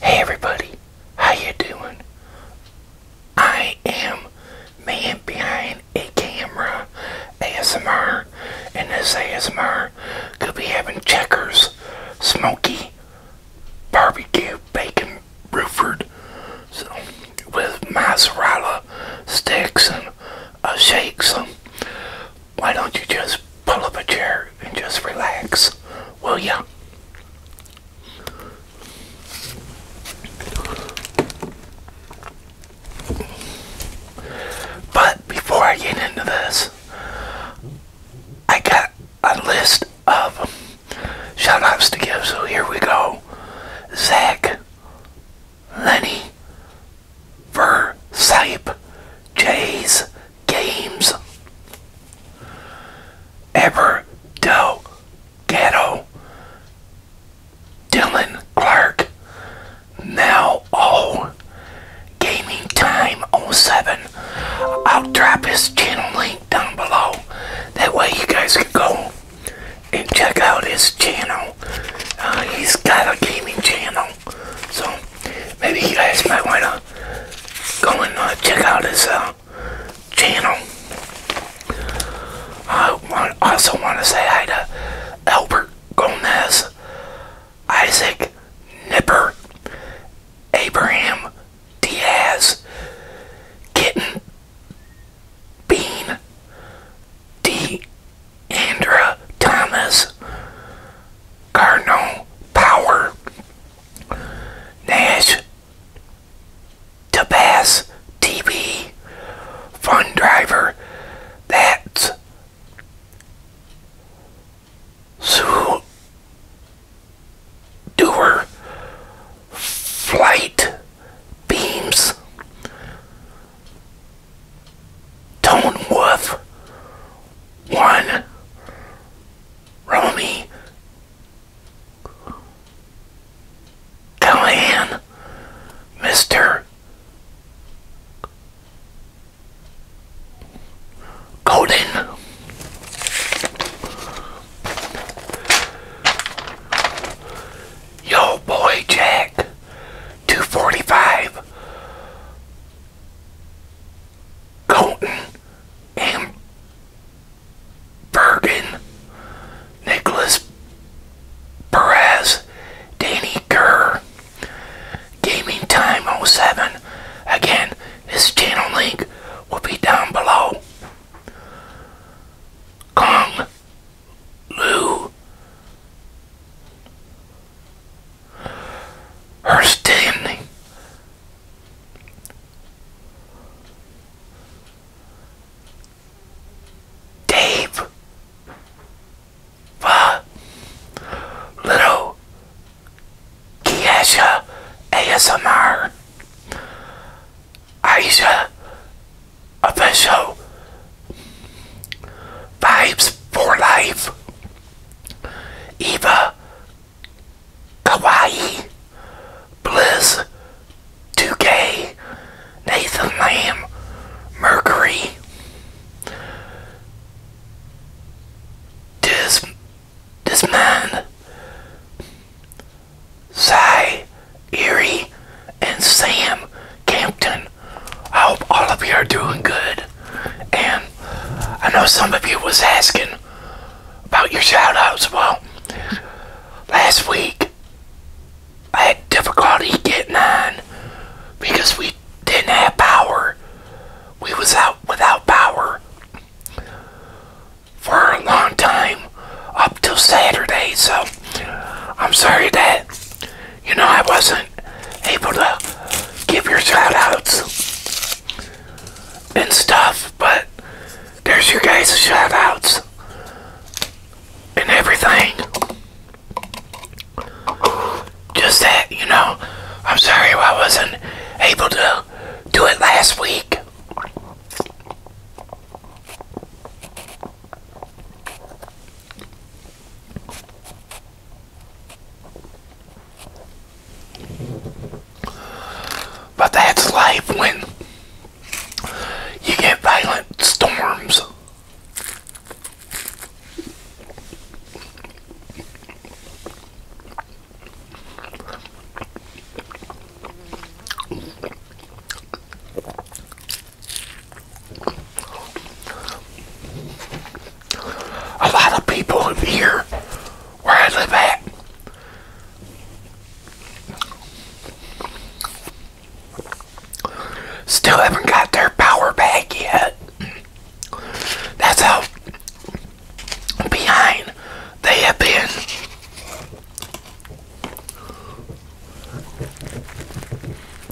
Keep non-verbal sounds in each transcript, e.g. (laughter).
Hey everybody, how you doing? I am man behind a camera ASMR and this ASMR could be having checkers, smoky barbecue bacon Rufford, so, with mozzarella sticks and uh, shakes why don't you just pull up a chair and just relax, will ya? But before I get into this, I got a list of shout outs to give, so here we go. Zach, Lenny, Ver, Sipe, Jays, games ever do ghetto Dylan Clark now oh gaming time 07 I'll drop his channel link down below that way you guys can go and check out his channel uh, he's got a gaming channel so maybe you guys might want to go and uh, check out his uh, channel. I also want to say hi to Albert Gomez, Isaac Nipper, Abraham Diaz, Kitten Bean, D. Andra Thomas, Cardinal Power Nash Tabas TV Fun Driver That's Sue Doer Flight Beams Tone one Romy Callahan Mr. Golden Yo Boy Jack 245 Colton M. Bergen, Nicholas Perez, Danny Kerr, Gaming Time 07. Again, this channel link will be down below. Kong Lu her standing. Dave, uh, little Kiesha ASMR, Aisha official vibes for life. Eva Kawaii, Bliss, 2K, Nathan Lamb, Mercury, Dis Disman, Cy, Erie, and Sam Campton. I hope all of you are doing good. And I know some of you was asking about your shoutouts. Well, last week I had difficulty getting on because we didn't have power. We was out without power for a long time up till Saturday. So I'm sorry that you know, I wasn't able to give your shout outs and stuff, but there's your guys' shout outs and everything. Just that, you know, I'm sorry I wasn't able to do it last week. But that's life when you get violent storms a lot of people here where I live at still haven't got their power back yet. That's how behind they have been.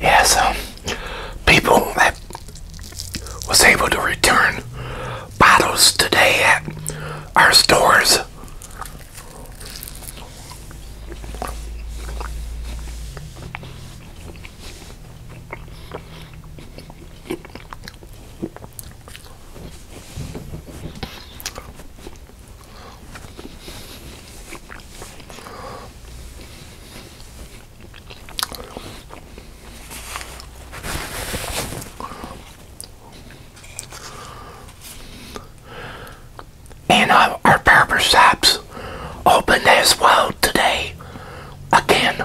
Yes, um, people that was able to return bottles today at our stores. And our, our barber shops open as well today again.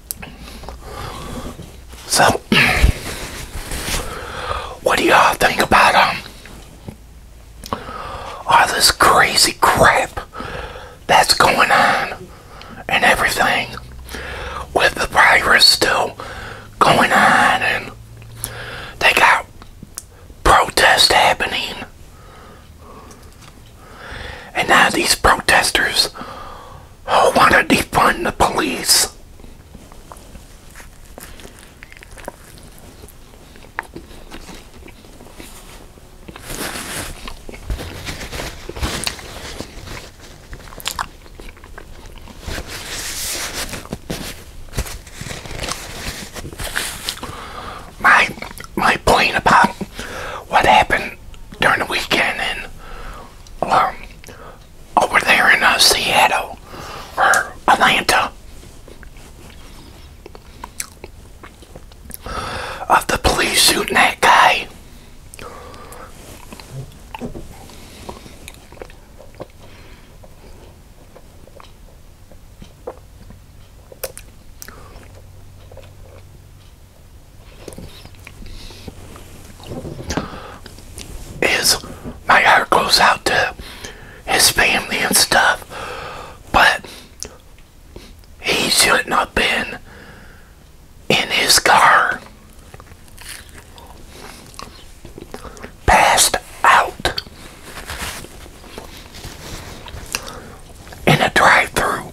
So, what do y'all think about um, all this crazy crap that's going on and everything with the virus still going on and they got protest happening and now these protesters I want to defund the police. My my point about what happened during the weekend and um, over there in uh, Seattle or Atlanta of the police shooting that guy is my heart goes out to his family and stuff, but he shouldn't have been in his car passed out in a drive-through.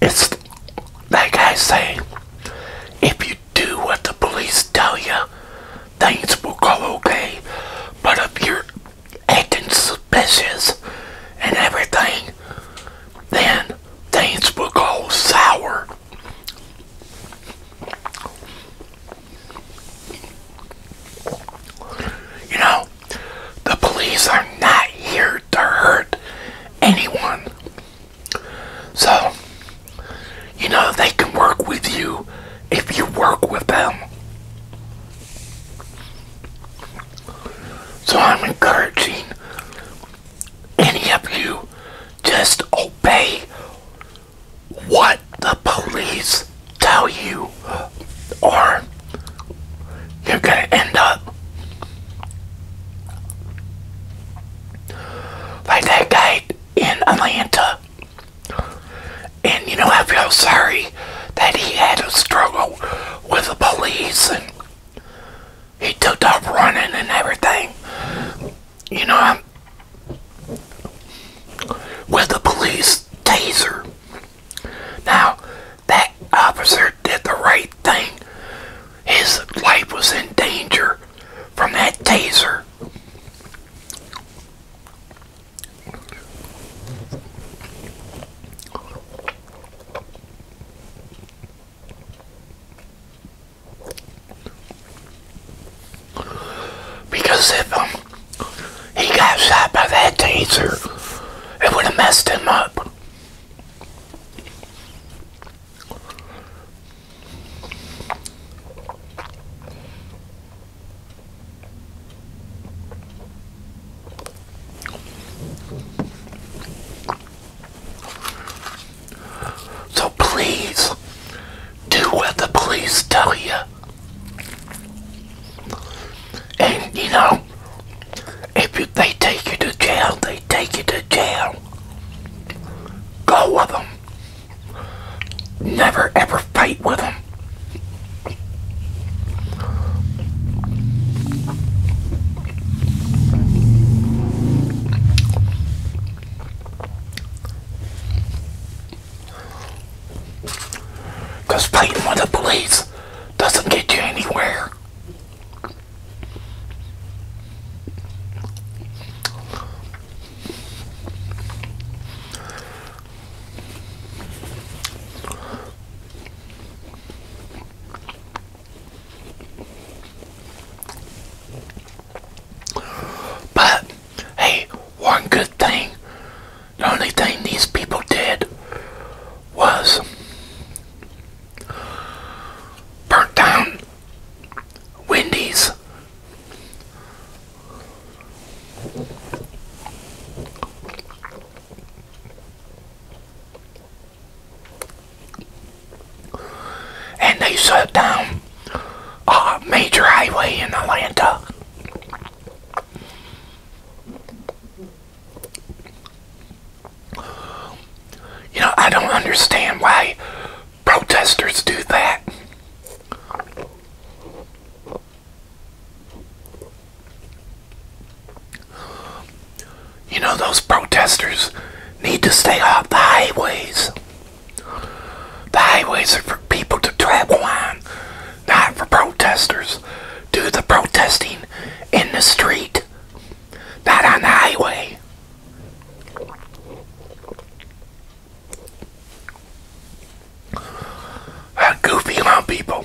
It's like I say, if you do what the police tell you, things will go okay. But if you're acting suspicious and everything, then things will go sour. You know, the police are not here to hurt anyone. So, you know, they can work with you if you work with them. So I'm encouraging any of you just obey what the police tell you, or you're going to end up like that guy in Atlanta. And you know, I feel sorry that he had a struggle with the police and he took off running and everything. You know, I'm with the police taser. Now, that officer did the right thing. His life was in danger from that taser. Because if um, he got shot by that taser. It would have messed him up. So please do what the police tell you. And you know, if they take you to jail, they take you to jail. Go with them. Never ever fight with them. Because fighting with the police doesn't get you anywhere. But hey, one good thing the only thing these people did was burnt down Wendy's. And they shut down a major highway in Atlanta. You know, I don't understand why protesters do that. You know, those protesters need to stay off the highways. The highways are for people to travel on not for protesters. Do the protesting in the street, not on the highway. A goofy amount of people.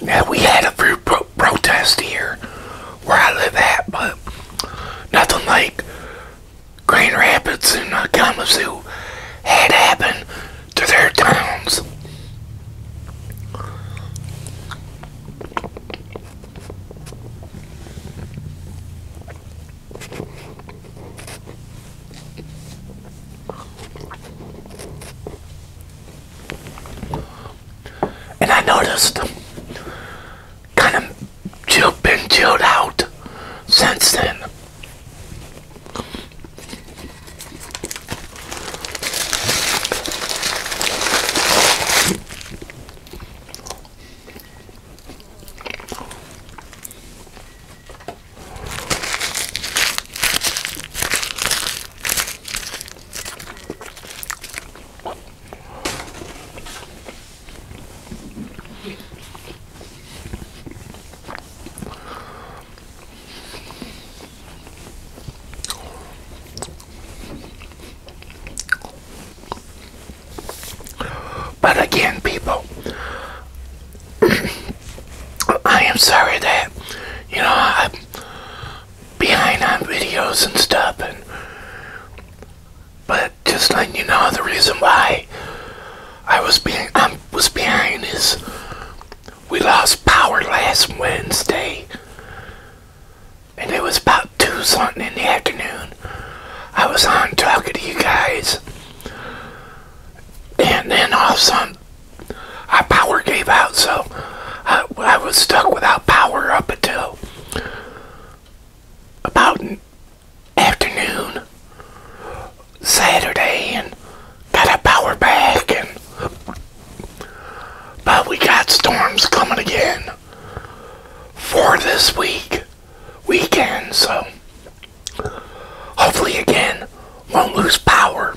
Now we had a few protests here where I live at, but nothing like Grand Rapids and uh, Kalamazoo had happened to their towns and I noticed kind of chilled, and chilled out since then. But again, people, (clears throat) I am sorry that you know behind on videos and stuff but just letting you know the reason why I was behind is we lost power last Wednesday and it was about two something in the afternoon. I was on talking to you guys and then all of a sudden our power gave out so uh, I was stuck without power up until about afternoon Saturday and got our power back and but we got storms coming again for this week weekend so hopefully again won't lose power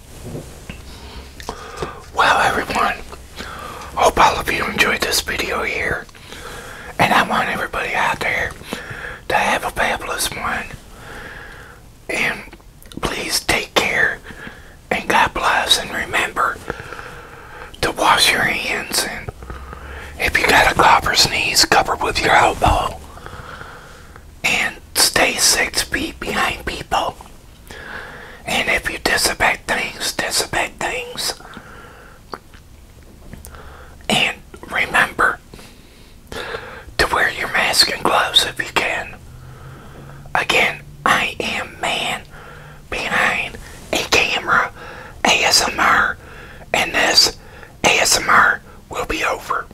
Well, everyone, hope all of you enjoyed this video here. And I want everybody out there to have a fabulous one. And please take care and God bless. And remember to wash your hands. And if you got a cough or sneeze, cover with your elbow. And stay six feet behind people. And if you disobey things, disobey things. And remember to wear your mask and gloves if you can. Again, I am man behind a camera ASMR, and this ASMR will be over.